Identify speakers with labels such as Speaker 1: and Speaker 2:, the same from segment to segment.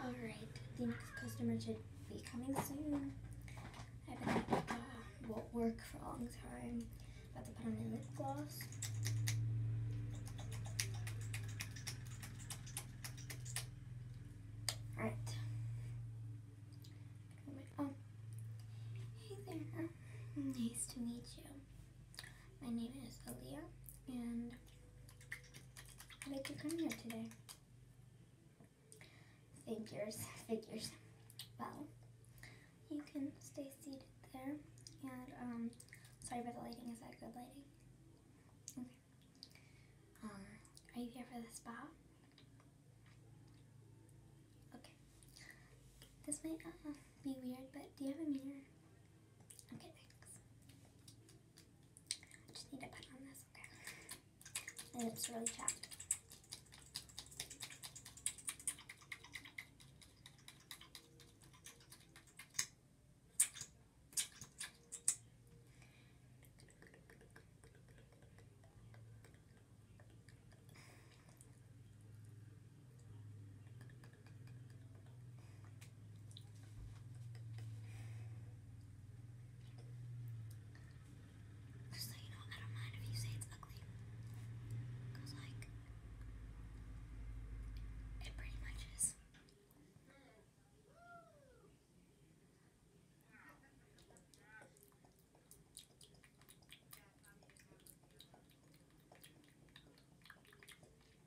Speaker 1: Alright, the next customer should be coming soon. I bet it uh, won't work for a long time. About to put on a lip gloss. Alright. Oh, hey there. Nice to meet you. My name is Aaliyah, and how did you come here today? Figures, figures. Well, you can stay seated there. And, um, sorry about the lighting. Is that good lighting? Okay. Um, are you here for the spa? Okay. This might uh, be weird, but do you have a mirror? Okay, thanks. I just need to put on this, okay. And it's really chapped. Just so you know, I don't mind if you say it's ugly. Because, like, it pretty much is.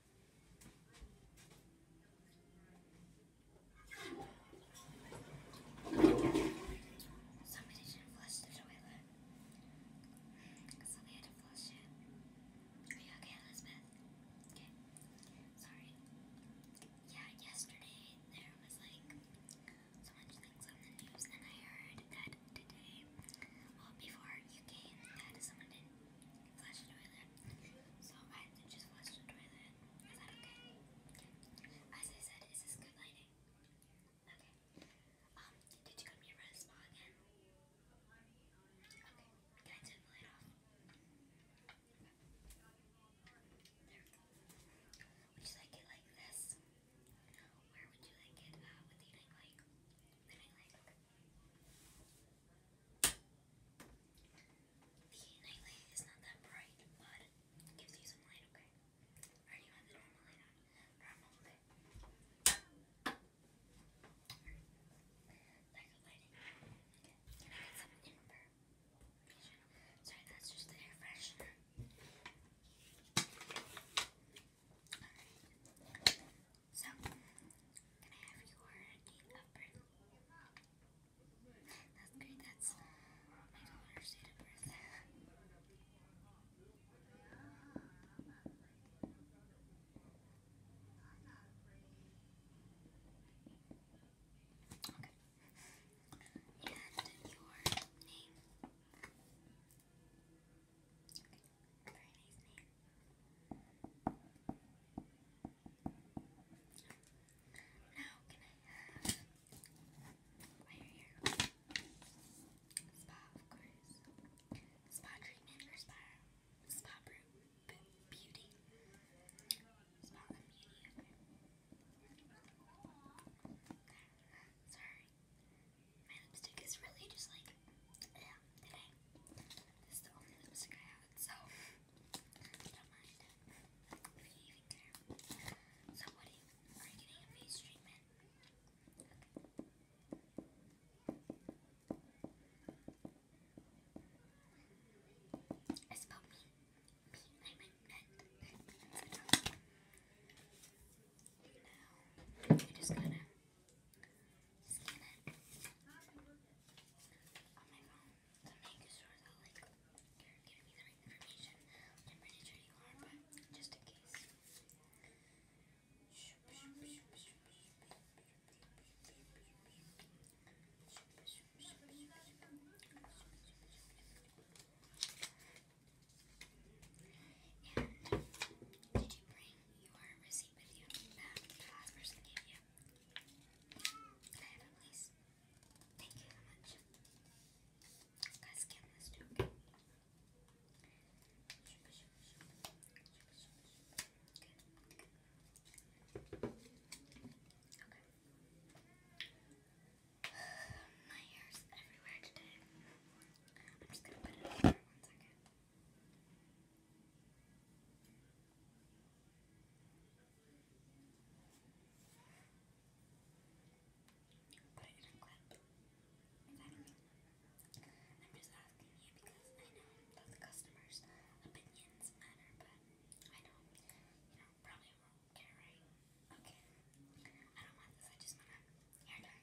Speaker 1: Somebody Are you okay, Elizabeth? Okay. Sorry. Yeah, yesterday there was like so much things on the news, and I heard that today, before you came, that someone did flush the toilet. So I to just flush the toilet. Is that okay? As I said, is good lighting? Okay. Um, did you come here for a spa again? Okay. Can I turn the light off? Would you like it like this? Where would you like it? Uh, with the night light? The night the nightlight is not that bright, but gives you some light, okay? Or you have the normal light Normal, okay? Sorry, that's just the air freshener. So, can I have your date of birth? That's great, that's my daughter's date of birth. Okay. And your name? Very nice Now, can I have right here? Spa, of course. Spa treatment or spa, spa beauty. Spa Sorry, my lipstick is really just like, yeah, today. This is the only lipstick I have, so don't mind if you So, what are you getting a face treatment? I spelled me. Me, I meant that. Now, I just gotta scan it on my phone to make sure that like you're giving me the right information. Which I'm pretty sure you are, but just in case did you bring your receipt with you that the last person gave you? Can I have it, please? Thank you so much. Gotta scan this too, okay? Okay. My hair's everywhere today. I'm just going to put it over one second. Put it in a clip. Exactly. I'm just asking you because I know that customers' opinions matter, but I know, you know, probably won't care, right? Okay. I don't want this, I just want a hair dye.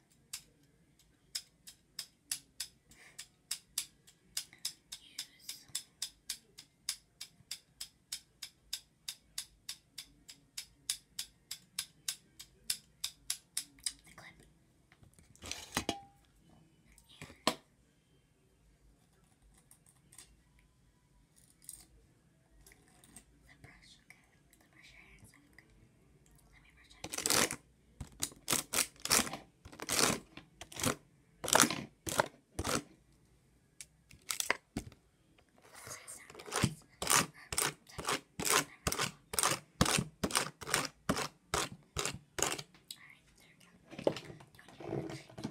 Speaker 1: the clip. And the brush, okay to brush your hair and stuff. Okay. Let me brush it. Alright, there we go. You want Let me put it up.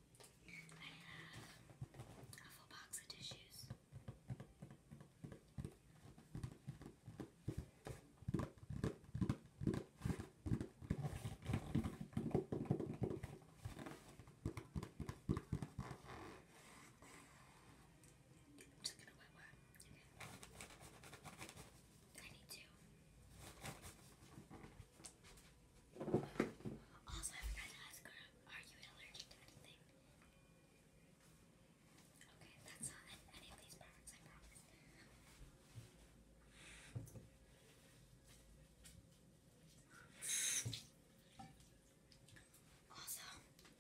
Speaker 1: I have a full box of tissues. just gonna wet wet. I need to. Also, I forgot to ask her, are you allergic to anything? Okay, that's not any of these products, I promise. Also,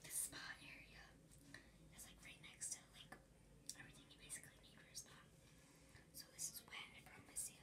Speaker 1: the spa area is like right next to like everything you basically need for a spa. So this is wet, I promise you.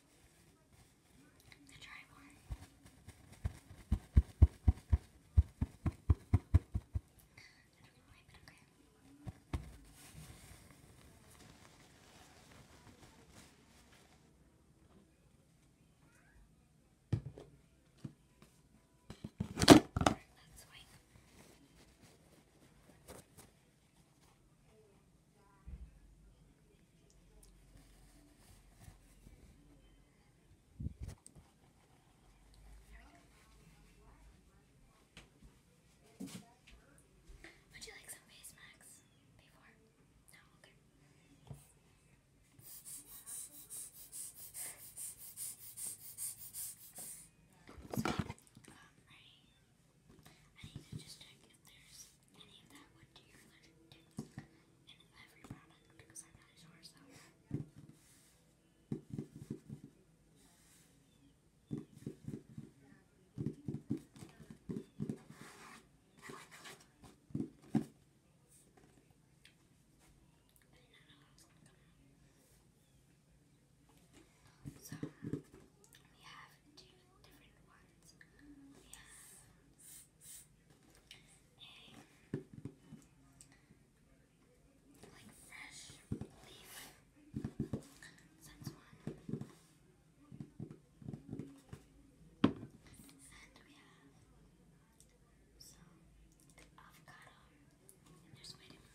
Speaker 1: I'm gonna try one. I don't know why, but okay. Let's wipe. Would you like some face masks before? No, okay. So, um, I I need to just check if there's any of that wood to your allergic tips in every product because I'm not sure so. So we have two different ones. We have like fresh leaf. So one. And we have some avocado.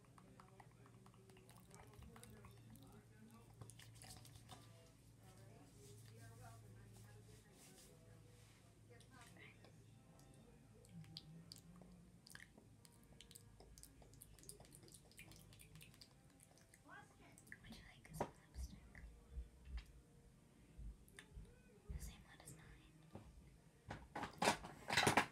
Speaker 1: Would you like some lipstick? The same one as mine.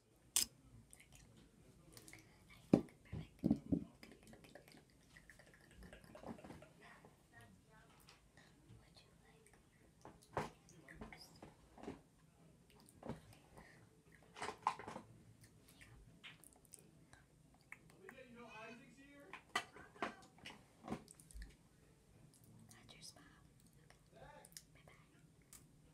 Speaker 1: That's your spot. Okay. Bye bye.